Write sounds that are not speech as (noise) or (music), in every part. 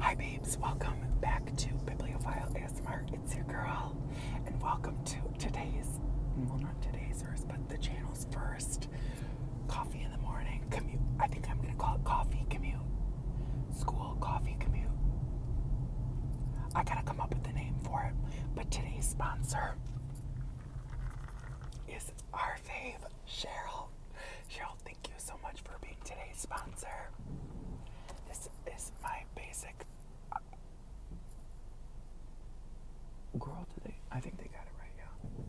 Hi, babes. Welcome back to Bibliophile ASMR. It's your girl, and welcome to today's well, not today's first, but the channel's first coffee in the morning commute. I think I'm gonna call it coffee commute, school coffee commute. I gotta come up with a name for it, but today's sponsor is our fave, Cheryl. Cheryl, Thank you so much for being today's sponsor. This is my basic. Uh, girl, today. I think they got it right,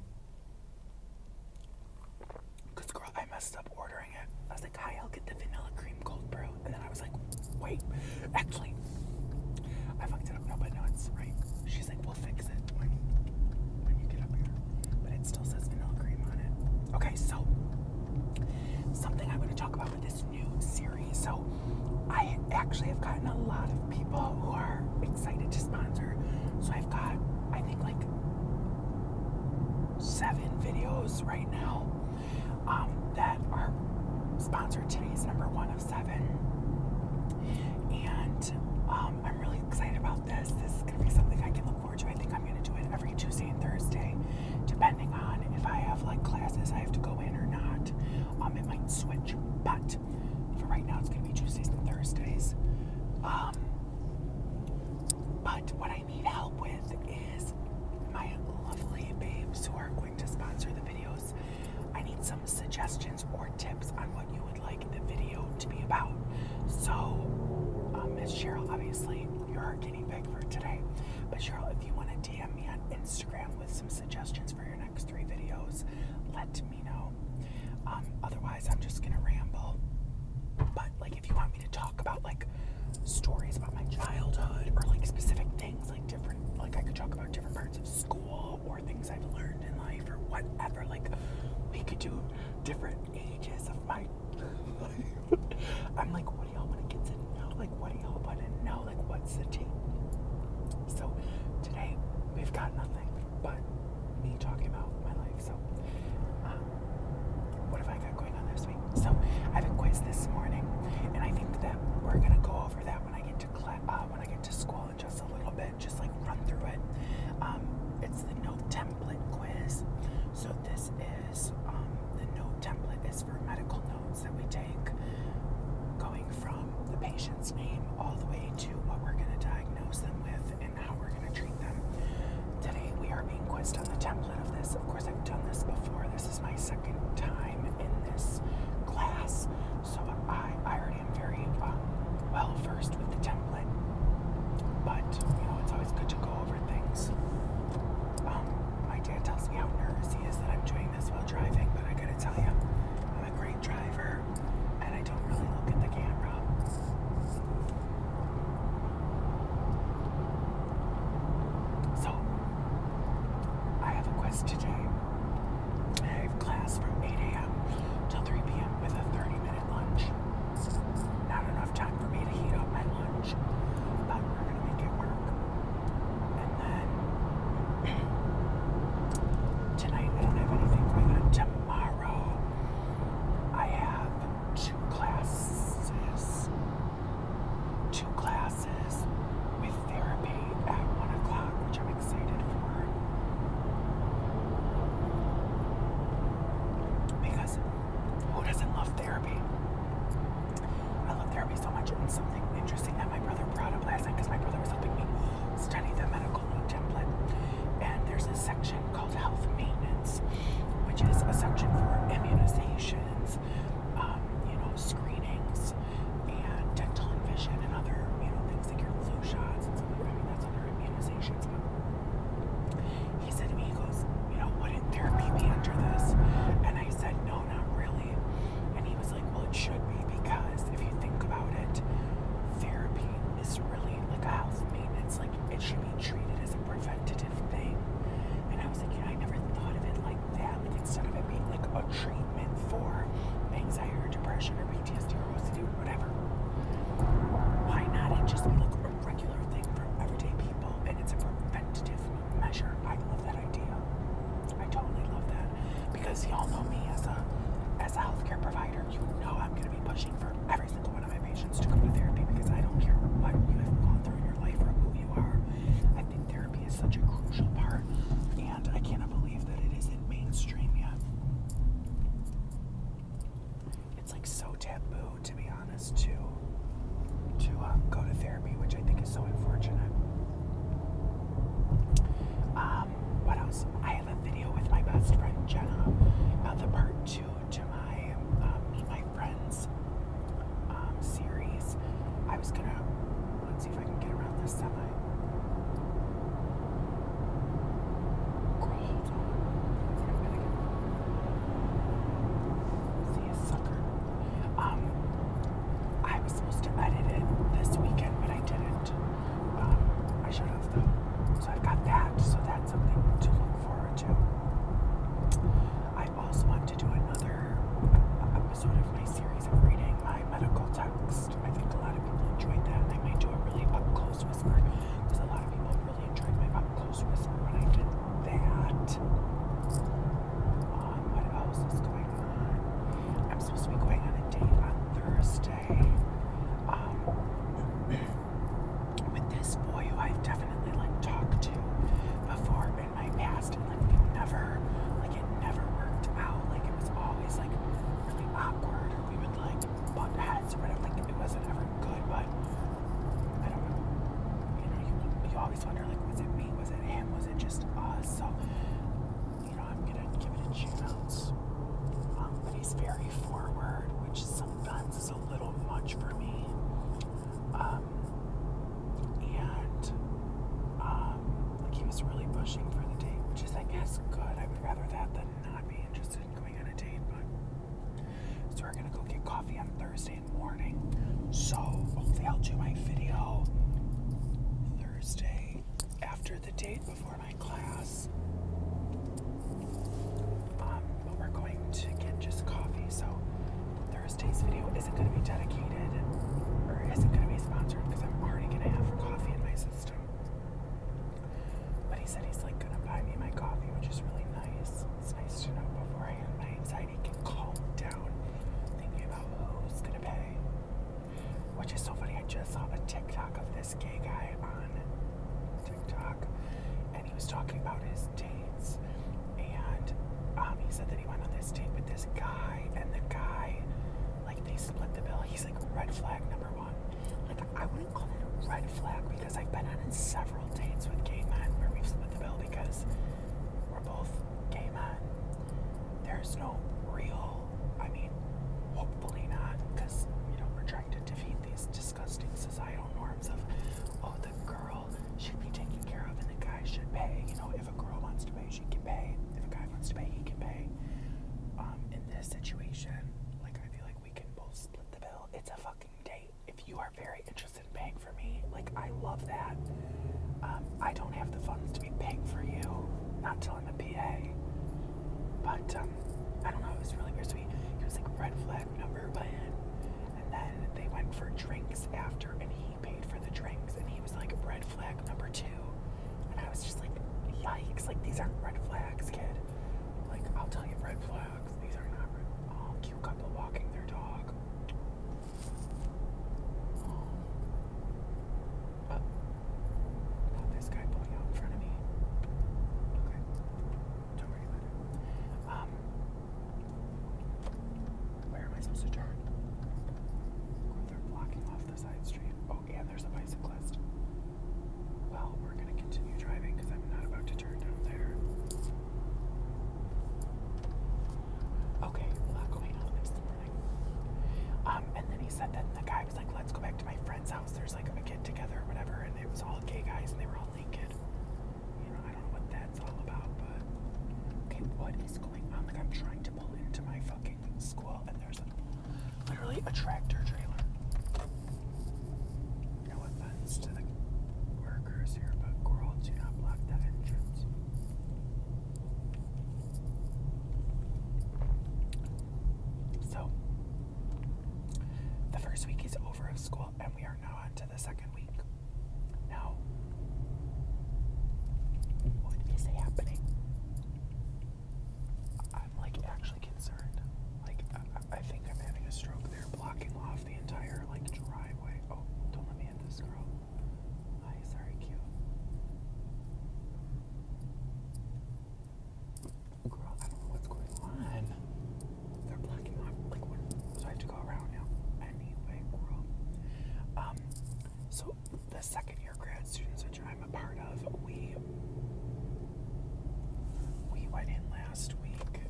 yeah. Cause girl, I messed up ordering it. I was like, "Hi, I'll get the vanilla cream cold brew," and then I was like, "Wait, actually, I fucked it up." No, but no, it's right. She's like, "We'll fix Okay, so something I'm to talk about with this new series. So I actually have gotten a lot of people who are excited to sponsor. So I've got, I think, like seven videos right now um, that are sponsored. Today's number one of seven. And um, I'm really excited about this. This is going to be something I can look forward I think I'm going to do it every Tuesday and Thursday, depending on if I have like classes I have to go in or not. Um, it might switch, but for right now, it's going to be Tuesdays and Thursdays. Um, but what I need help with is my lovely babes who are going to sponsor the videos. I need some suggestions or tips on you would like the video to be about. So, um, Miss Cheryl, obviously, you're our guinea pig for today. But Cheryl, if you want to DM me on Instagram with some suggestions for your next three videos, let me know. Um, otherwise, I'm just gonna ramble. But like, if you want me to talk about like stories about my childhood or like specific things, like different, like I could talk about different parts of school or things I've learned in life or whatever, like we could do different ages of my life. (laughs) I'm like, what do y'all want to get to know? Like, what do y'all want to know? Like, what's the tea? So today we've got nothing but me talking about my life. So, um, what have I got going on this week? So I have a quiz this morning, and I think that we're gonna go over that when I get to uh, when I get to school just a little bit, just like run through it. Um, it's the note template quiz. So this is um, the note template is for medical notes that we take, going from the patient's name all the way to what we're going to diagnose them with and how we're going to treat them. Today we are being quizzed on the template of this. Of course, I've done this before. This is my second time in this class, so I I I am very uh, well versed with the template, but you know it's always good to go over things. Um, my dad tells me how nervous he is that I'm doing this while driving, but I gotta tell you, I'm a great driver, and I don't really look at the camera. So, I have a quest today. I have class from 8 a.m. till 3 p.m. with a 30 minute lunch. Not enough time for me to heat up my lunch, but we're gonna make it work. And then (clears throat) tonight I don't have anything Tomorrow I have two classes. Two classes with therapy at one o'clock, which I'm excited Because who doesn't love therapy? I love therapy so much. And something interesting that my brother brought up last night, because my brother was helping me study the medical template. And there's a section called health maintenance, which is a section for immunizations, um, you know, screenings, and dental vision, and other, you know, things like your flu shots and stuff like that on her immunizations. But he said to me, he goes, you know, wouldn't therapy be under this? And I said, no, not really. And he was like, well, it should be because if you think about it, therapy is really like a health maintenance. Like it should be treated as a preventative thing. And I was like, yeah, I never thought of it like that. Like instead of it being like a treatment for anxiety or depression or PTSD why not it just look a regular thing for everyday people and it's a preventative measure? I love that idea. I totally love that. Because y'all know me as a as a healthcare provider, you know I'm gonna be pushing for every single one of my patients to go to therapy because I don't care why you have gone through in your life or who you are. I think therapy is such a crucial part and I cannot believe that it isn't mainstream yet. It's like so taboo, to be honest, to to uh, go to therapy, which I think is so unfortunate. Um, what else? I have a video with my best friend Jenna about the part two to my uh, Meet My Friends um, series. I was gonna let's see if I can get around this semi. See a sucker. Um, I was supposed to edit it this weekend, but I didn't. Um, I showed have though. So I have got that. So that's something to look forward to. I also want to do another episode of my series of reading my medical texts. I think a lot of people enjoyed that. They might do a really up close whisper because a lot of people really enjoyed my up close whisper when I did that. Um, what else is going on? I'm supposed to be going on a date on Thursday. Um, (clears throat) with this boy who I've definitely like talked to before in my past and like we never like it never worked out. Like it was always like really awkward we would like butt heads or it wasn't ever good, but I don't know. You always wonder like, was it me? Was it him? Was it just us? So you know, I'm gonna give it a tune um, but he's very forward, which sometimes is a little much for me. Um, and um, like he was really pushing for the date, which is I guess good would rather that than not be interested in going on a date, but so we're gonna go get coffee on Thursday morning. So hopefully I'll do my video Thursday after the date before my class. Um, but we're going to get just coffee, so Thursday's video isn't gonna be dedicated or isn't gonna be sponsored because I'm already gonna have coffee in my system. But he said he's like gonna buy me my coffee, which is really nice. It's nice to know beforehand. My anxiety can calm down thinking about who's gonna pay. Which is so funny. I just saw a TikTok of this gay guy on TikTok, and he was talking about his dates. And um, he said that he went on this date with this guy, and the guy like they split the bill, he's like red flag number one. Like I wouldn't call it a red flag because I've been on several dates with gay men where we've split the bill because we're both gay men. There's no real, I mean, hopefully not, because you know we're trying to defeat these disgusting societal norms of oh the girl should be taken care of and the guy should pay. You know, if a girl wants to pay, she can pay. If a guy wants to pay, he can pay. Um, in this situation, like I feel like we can both split the bill. It's a fucking date. If you are very interested in paying for me, like I love that. Um, I don't have the funds to be paying for you, not telling the PA. But um, I don't know. It was really weird. So he was like red flag number one, and then they went for drinks after, and he paid for the drinks, and he was like red flag number two. And I was just like, yikes, like these aren't red flags, kid. Like, I'll tell you red flags. These are not red oh, cute couple walking their dog. Oh. oh. Not this guy pulling out in front of me. Okay. Don't worry about it. Um where am I supposed to turn? they're blocking off the side street. Oh, and there's a bicyclist. Well, we're going to continue driving because I'm not about to turn down there. Okay, a lot going on this morning. Um, and then he said that the guy was like, let's go back to my friend's house. There's like a get together or whatever, and it was all gay guys and they were all naked. You know, I don't know what that's all about, but okay, what is going on? Like I'm trying to pull into my fucking school literally a tractor trailer. No offense to the workers here, but girl, do not block that entrance. So, the first week is over of school, and we are now on to the second week. Now, what is happening? I'm like actually concerned. Like I, I think I'm having a stroke. They're blocking off the entire like driveway. Oh, don't let me in this girl. Hi, sorry, cute. Girl, I don't know what's going on. They're blocking off like what so I have to go around now. Anyway, girl. Um so the second year grad students, which I'm a part of, we we went in last week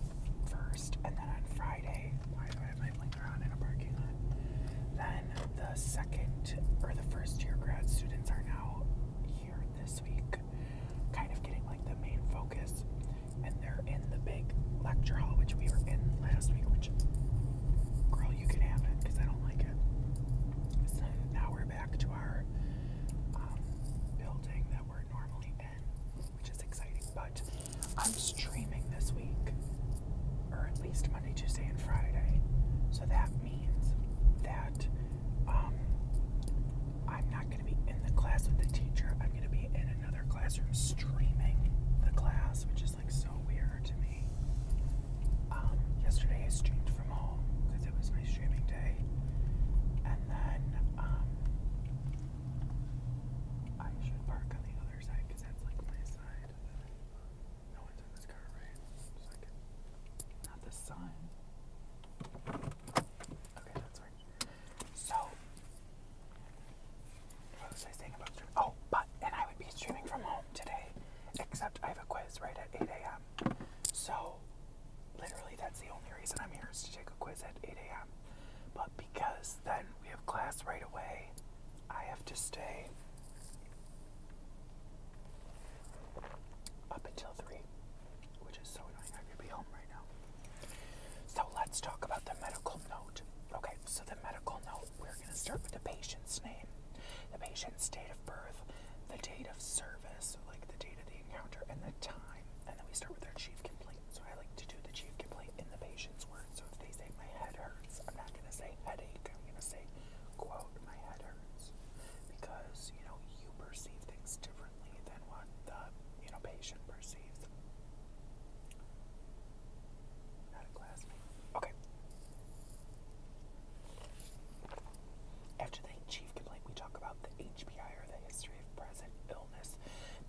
first, and then on Friday. Why do I have my blinker on in a parking lot? Then the second or the first year grad students are now here this week, kind of getting like the main focus, and they're in the big lecture hall, which we were in last week. Which, girl, you can have it because I don't like it. now we're back to our um, building that we're normally in, which is exciting. But I'm streaming this week, or at least Monday, Tuesday, and Friday. So that means that um, I'm not going to be in the class with the teacher. I'm going to be in another classroom streaming the class, which is like so weird to me. Um, yesterday I streamed from home because it was my streaming day, and then um, I should park on the other side because that's like my side. Um, no one's in this car, right? Just not the sun. Okay, that's right. So Oh, but and I would be streaming from home today, except I have a quiz right at 8 a.m. So literally, that's the only reason I'm here is to take a quiz at 8 a.m. But because then we have class right away, I have to stay up until 3, which is so annoying. I could be home right now. So let's talk about the medical note. Okay, so the medical note we're going to start with the patient's name, the patient's date of birth, the date of service, so like the date of the encounter, and the time. And then we start with their chief complaint. So I like to do the chief complaint in the patient's words. So if they say my head hurts, I'm not going to say headache. I'm going to say, quote, my head hurts. Because, you know, you perceive things differently than what the, you know, patient perceives. Okay, after the chief complaint, we talk about the HPI or the history of present illness.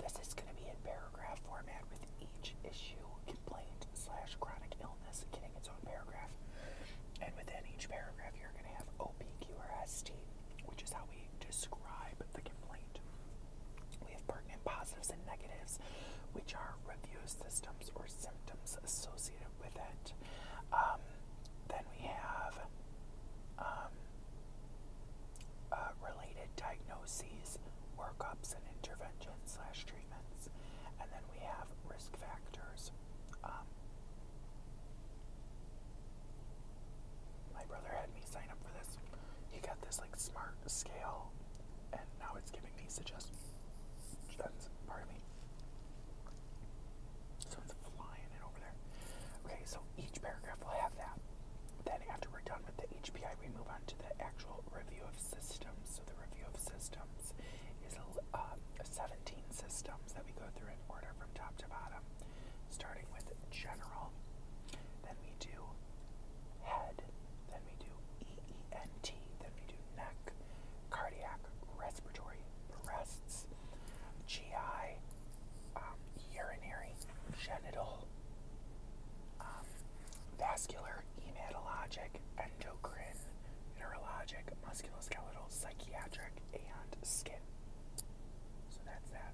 This is going to be in paragraph format with each issue complaint slash chronic illness getting its own paragraph. And within each paragraph, you're going to have OPQRST, which is how we describe the complaint. We have pertinent positives and negatives, which are review systems or symptoms associated with it. Um, then we have um, uh, related diagnoses, workups, and interventions slash treatments. And then we have risk factors. Um, my brother had me sign up for this. He got this like smart scale, now it's giving me suggestions. Pardon me. Someone's flying in over there. Okay, so each paragraph will have that. Then after we're done with the HPI, we move on to the actual review of systems. So the review of systems is uh, 17 systems that we go through in order from top to bottom, starting with general. Then we do head, then we do EENT, then we do neck, cardiac, respiratory, breasts, GI, um, urinary, genital, um, vascular, hematologic, endocrine, neurologic, musculoskeletal, psychiatric, and skin. So that's that.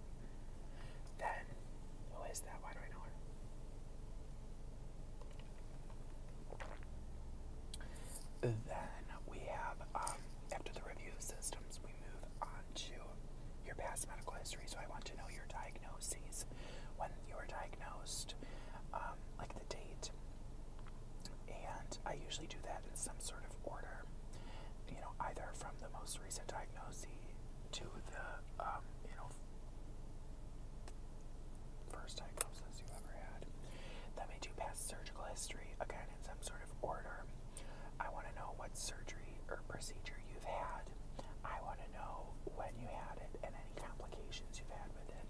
Then, who is that? Why do I know her? Then we have, um, after the review of systems, we move on to your past medical history. So I want to know your diagnoses, when you were diagnosed, um, like the date. And I usually do that in some sort of order, you know, either from the most recent diagnosis to the, um, you know, First diagnosis you ever had. That made you pass surgical history again in some sort of order. I want to know what surgery or procedure you've had. I want to know when you had it and any complications you've had with it.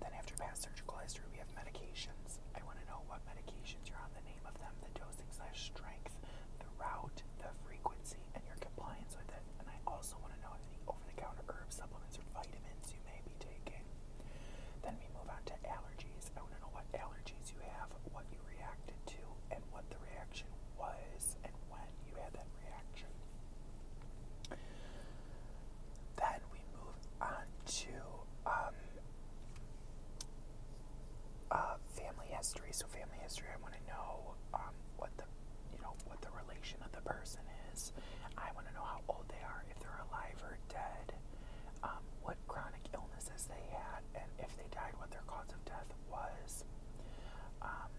Then, after past surgical history, we have medications. I want to know what medications you're on, the name of them, the dosing slash strength, the route, the frequency and your compliance with it. And I also want to know any over the counter herbs, supplements or vitamins you may be taking. Then we move on to allergies. I want to know what allergies you have, what you reacted to, and what the reaction was, and when you had that reaction. Then we move on to um, uh, family history. So family history, I want to know um, what the you know what the relation of the person is. I want to know how old they are, if they're alive or dead, um, what chronic illnesses they had, and if they died, what their cause of death was. Um,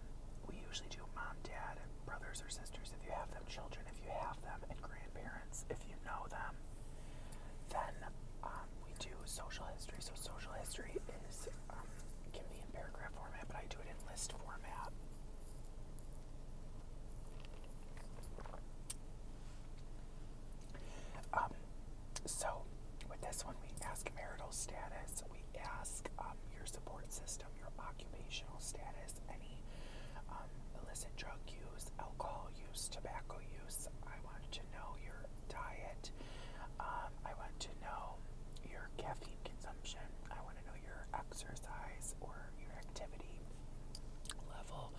we usually do mom, dad, brothers or sisters if you have them, children if you have them, and grandparents if you know them. Then we do social history. So social history is um, in paragraph format, but I do it in list format. Um, so with this one, we ask marital status, we ask um, your support system, your occupational status, any um, illicit drug use, alcohol use, tobacco use. I wanted to know your diet. Um, I want to know your caffeine consumption. I want to know your exercise or your activity level.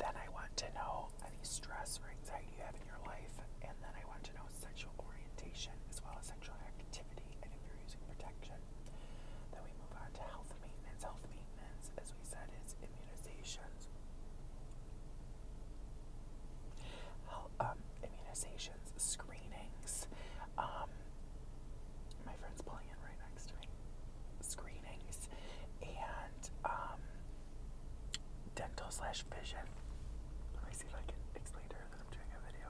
Then I want to know any stress or anxiety you have in your life. And then I want to know sexual orientation as well as sexual activity and if you're using protection. Then we move on to health maintenance. Health maintenance, as we said, is immunizations. Um, immunizations, screenings. Um, my friend's pulling in right next to me. Screenings and um, dental slash vision. Let me see if I can explain to her that I'm doing a video.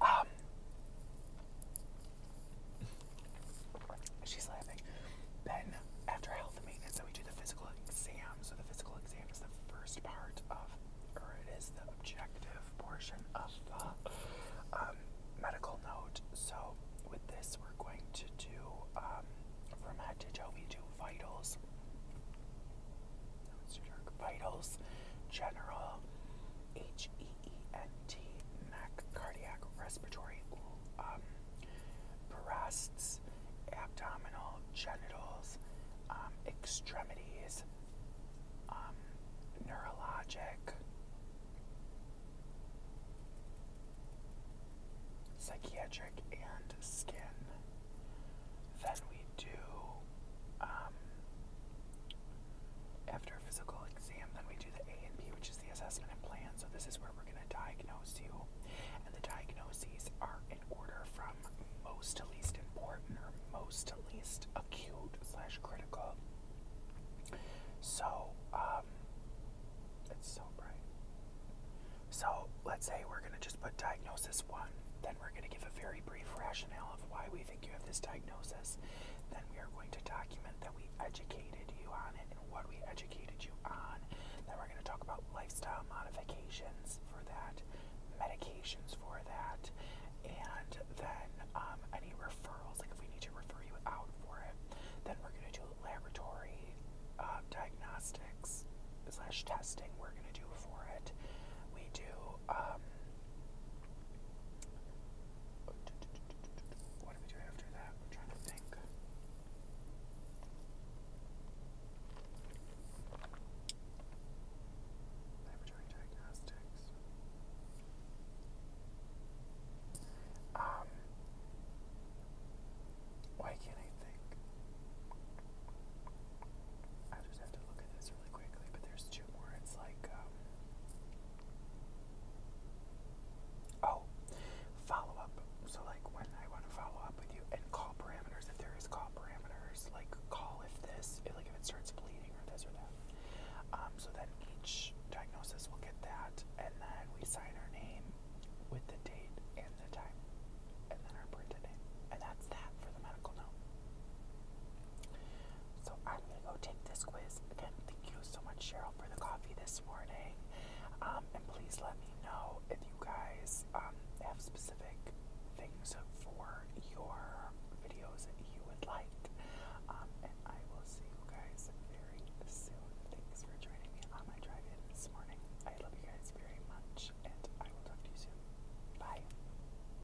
Um, She's laughing. Then, after health maintenance, so we do the physical exam. So the physical exam is the first part of, or it is the objective portion of the um, medical note. So with this, we're going to do um, from head to toe. We do vitals. Vitals, general, H-E-E-N-T, neck, cardiac, respiratory, um, breasts, abdominal, genitals, um, extremities, um, neurologic, psychiatric, and skin. Then we do um, after a physical exam, then we do the A and B, which is the assessment and plan. So this is where we're going to diagnose you. And the diagnoses are in order from most to least important or most to least acute slash critical. So, um, it's so bright. So let's say we're going to just put diagnosis one. Then we're going to give a very brief rationale of why we you have this diagnosis, then we are going to document that we educated you on it and what we educated you on. Then we're going to talk about lifestyle modifications for that, medications for that, and then um, any referrals, like if we need to refer you out for it. Then we're going to do laboratory uh, diagnostics slash testing we're going to do for it. We do um, what do we do after that? We're trying to think. Laboratory diagnostics. Um, why can't I think? I just have to look at this really quickly, but there's two more. like, um, Oh, follow up. So, like, when I want to follow up with you, and call parameters if there is call parameters, like call if this, like if it starts bleeding or this or that. Um, so then each diagnosis will get that, and then we sign our name with the date and the time, and then our printed name, and that's that for the medical note. So I'm gonna go take this quiz. thank you so much, Cheryl, for the coffee this morning. Um, and please let me know if you guys um, have specific things for your videos that you would like. Um, and I will see you guys very soon. Thanks for joining me on my drive in this morning. I love you guys very much, and I will talk to you soon. Bye.